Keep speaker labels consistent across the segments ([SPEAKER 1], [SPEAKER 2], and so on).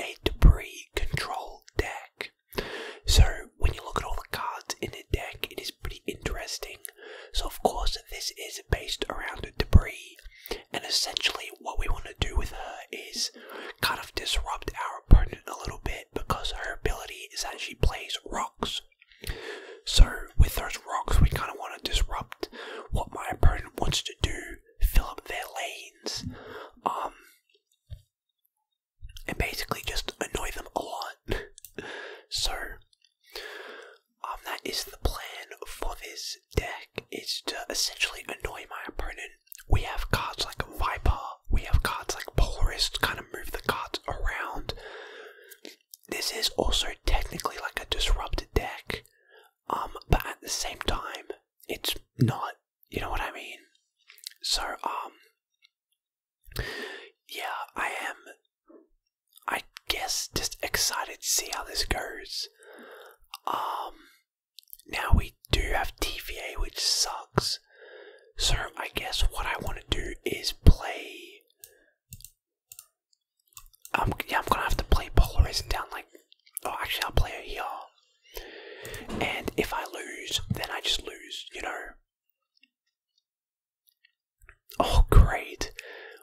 [SPEAKER 1] a debris control deck. So when you look at all the cards in the deck, it is pretty interesting. So of course this is based around debris, and essentially what we want to do with her is kind of disrupt our opponent a little bit because her ability is that she plays rocks. So with those rocks, we kind of want to disrupt what my opponent wants to do fill up their lanes, um, and basically just annoy them a lot. so, um, that is the plan for this deck, is to essentially annoy my opponent. We have cards like Viper, we have cards like Polaris to kind of move the cards around. This is also technically like a disrupted deck, um, but at the same time, it's not. You know what I mean? So, um, yeah, I am, I guess, just excited to see how this goes. Um, now we do have TVA, which sucks. So, I guess what I want to do is play. Um, yeah, I'm gonna have to play Polarizing down like Oh, actually, I'll play her here. And if I lose, then I just lose, you know. Oh, great.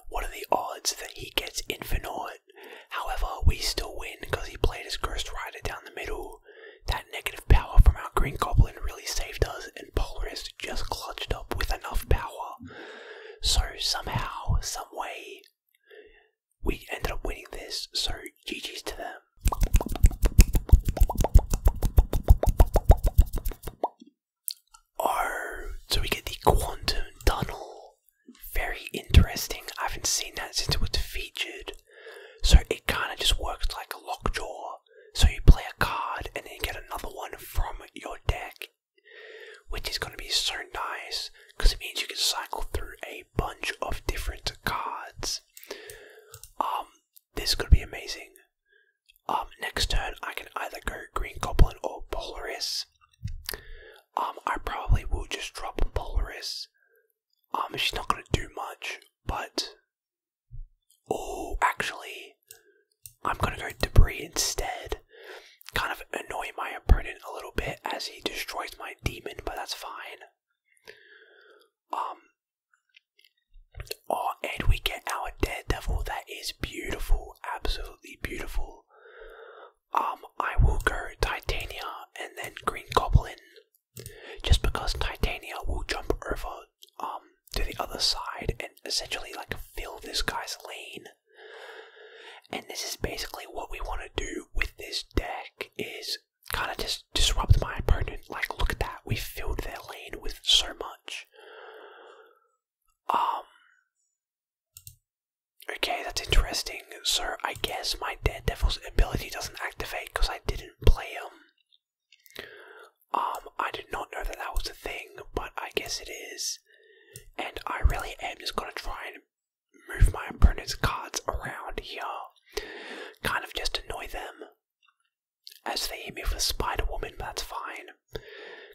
[SPEAKER 1] What are the odds that he gets infinite? However, we still win because he played his cursed Rider down the middle. That negative power from our Green Goblin really saved us, and Polaris just clutched up with enough power. So, somehow, some way, we ended up winning this, so GG's to them. Oh, so we get the quantum tunnel. Very interesting. I haven't seen that since it was featured. So it kind of just works like a lockjaw. So you play a card and then you get another one from your deck which is going to be so nice because it means you can cycle through a bunch of different cards. Um, this could be amazing. Um, next turn I can either go Green Goblin or Polaris. Um, I probably will just drop Polaris. Um, she's not going to do much, but oh, actually, I'm going to go Debris instead kind of annoy my opponent a little bit as he destroys my demon, but that's fine. Um, oh, and we get our Daredevil. That is beautiful, absolutely beautiful. Um, I will go Titania and then Green Goblin, just because Titania will jump over um to the other side and essentially like fill this guy's lane. And this is basically what we want to do with this deck is kind of just disrupt my opponent. Like, look at that. We filled their lane with so much. Um. Okay, that's interesting. So I guess my Daredevil's ability doesn't activate because I didn't play him. Um, I did not know that that was a thing, but I guess it is. And I really am just going to try and move my opponent's cards around here. Kind of just annoy them. As they hit me with Spider Woman, but that's fine.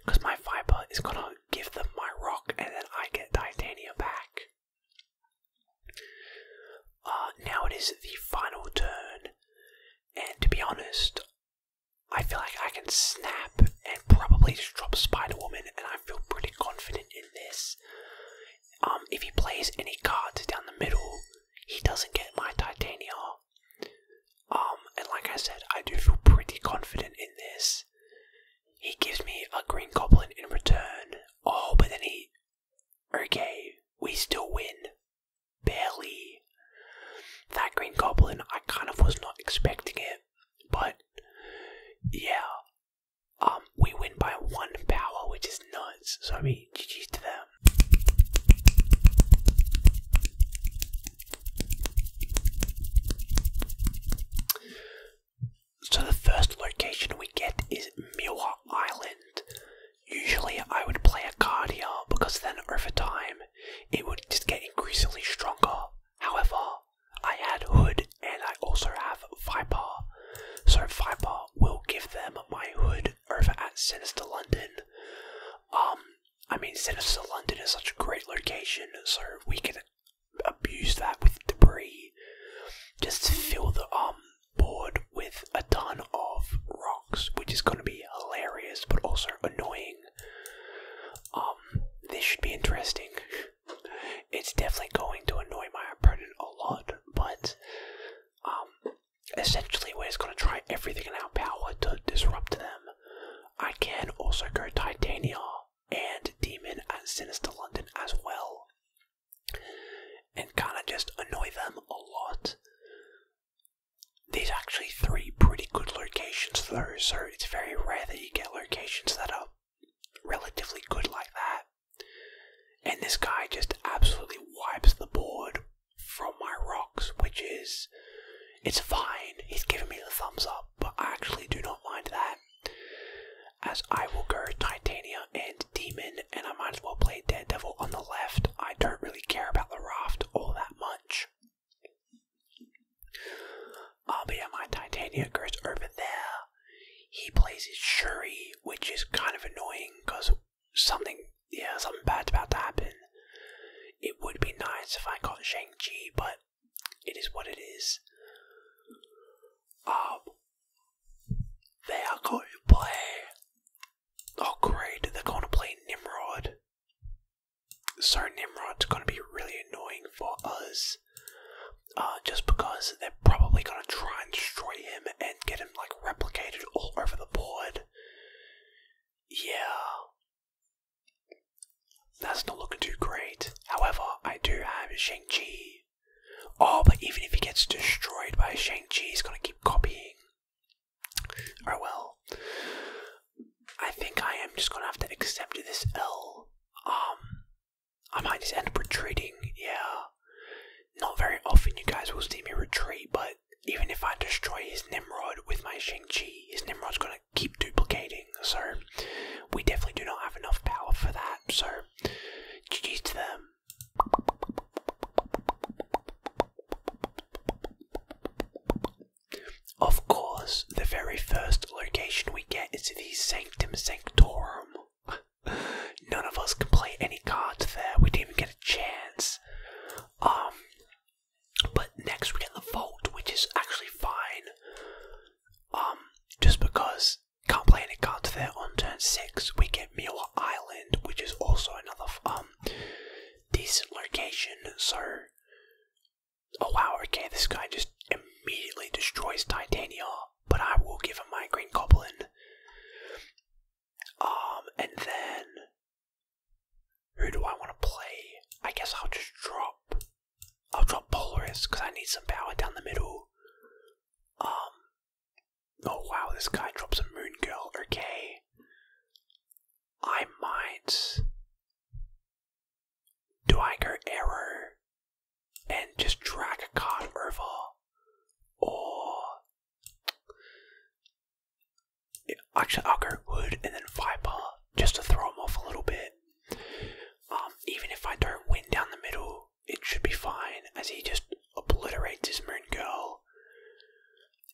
[SPEAKER 1] Because my Viper is going to give them my rock and then I get Titanium back. Uh, now it is the final turn. And to be honest, I feel like I can snap and probably just drop Spider Woman, and I feel pretty confident in this. Um, if he plays any cards down the middle, he doesn't get my Titania. Um, and like I said, I do feel pretty confident in this. He gives me a Green Goblin in return. Oh, but then he. Okay, we still win. Barely. That Green Goblin, I kind of was not expecting it. But yeah, um, we win by one power, which is nuts. So I mean, GG's to them. So the first location we get is Miwa Island. Usually I would play a card because then over time it would just get increasingly stronger However, I had Hood and I also have Viper. So Viper will give them my Hood over at Sinister London. Um, I mean, Sinister London is such a great location, so we can abuse that with debris. Just fill the um board with a ton of rocks, which is going to be hilarious but also annoying. Um, this should be interesting. It's definitely going to annoy my opponent a lot, but um, essentially we're just going to try everything in our power to disrupt them. I can also go Titania and Demon at Sinister London as well, and kind of just annoy them a lot. There's actually three pretty good locations though, so it's very rare that you get locations that are relatively good like that. And this guy just absolutely wipes the board from my rocks, which is. It's fine, he's giving me the thumbs up, but I actually do not mind that. As I will go Titania and Demon, and I might as well play Daredevil on the left. I don't really care about the raft all that much. I'll be on my Titania goes over there. He plays his Shuri, which is kind of annoying because something, yeah, something bad's about to happen. It would be nice if I got Shang-Chi, but it is what it is. Um, they are going to play. Oh, great, they're going to play Nimrod. So Nimrod's gonna be really annoying for us, uh, just because they're probably gonna try and destroy him and get him like replicated all over the board. Yeah, that's not looking too great. However, I do have Shang Chi. Oh, but even if he gets destroyed by Shang Chi, he's gonna keep copying. Or well, I think I am just gonna have to accept this L. Um, I might just end up retreating. Yeah, not very often you guys will see me retreat, but even if I destroy his Nimrod with my Shang Chi, his Nimrod's gonna keep duplicating. So we definitely do not have enough power for that. So GG's to them. Of course, the very first location we get is the Sanctum Sanctorum. None of us can play any cards there, we didn't even get a chance. Um, but next we get the Vault, which is actually fine. Um, just because can't play any cards there on turn six, we get Miwa Island, which is also another um decent location, so. Oh wow, okay, this guy just immediately destroys Titania, but I will give him my Green Goblin. Um, and then. Who do I want to play? I guess I'll just drop. I'll drop Polaris because I need some power down the middle. Um. Oh wow, this guy drops a Moon Girl, okay. I might do I go error and just drag a card over or actually I'll go wood and then viper just to throw them off a little bit. Um, even if I don't win down the middle, it should be fine as he just obliterates his moon girl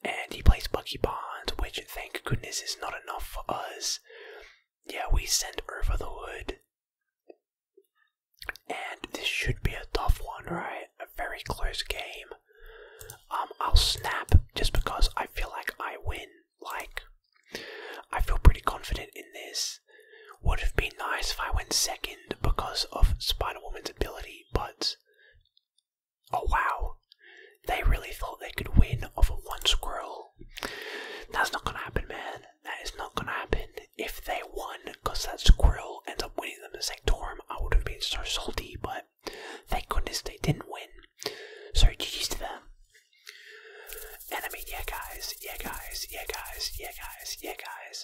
[SPEAKER 1] and he plays Bucky Bonds, which thank goodness is not enough for us. Yeah, we sent over the Hood. And this should be a tough one, right? A very close game. Um, I'll snap just because I feel like I win. Like, I feel pretty confident in this. Would have been nice if I went second because of Spider Woman's ability, but Oh wow, they really thought they could win off of one squirrel. That's not gonna happen, man. That is not gonna happen. If they won, because that squirrel ends up winning them the Sanctorum, I would have been so salty, but thank goodness they didn't win. So GG's to them. And I mean, yeah, guys, yeah, guys, yeah, guys, yeah, guys, yeah, guys.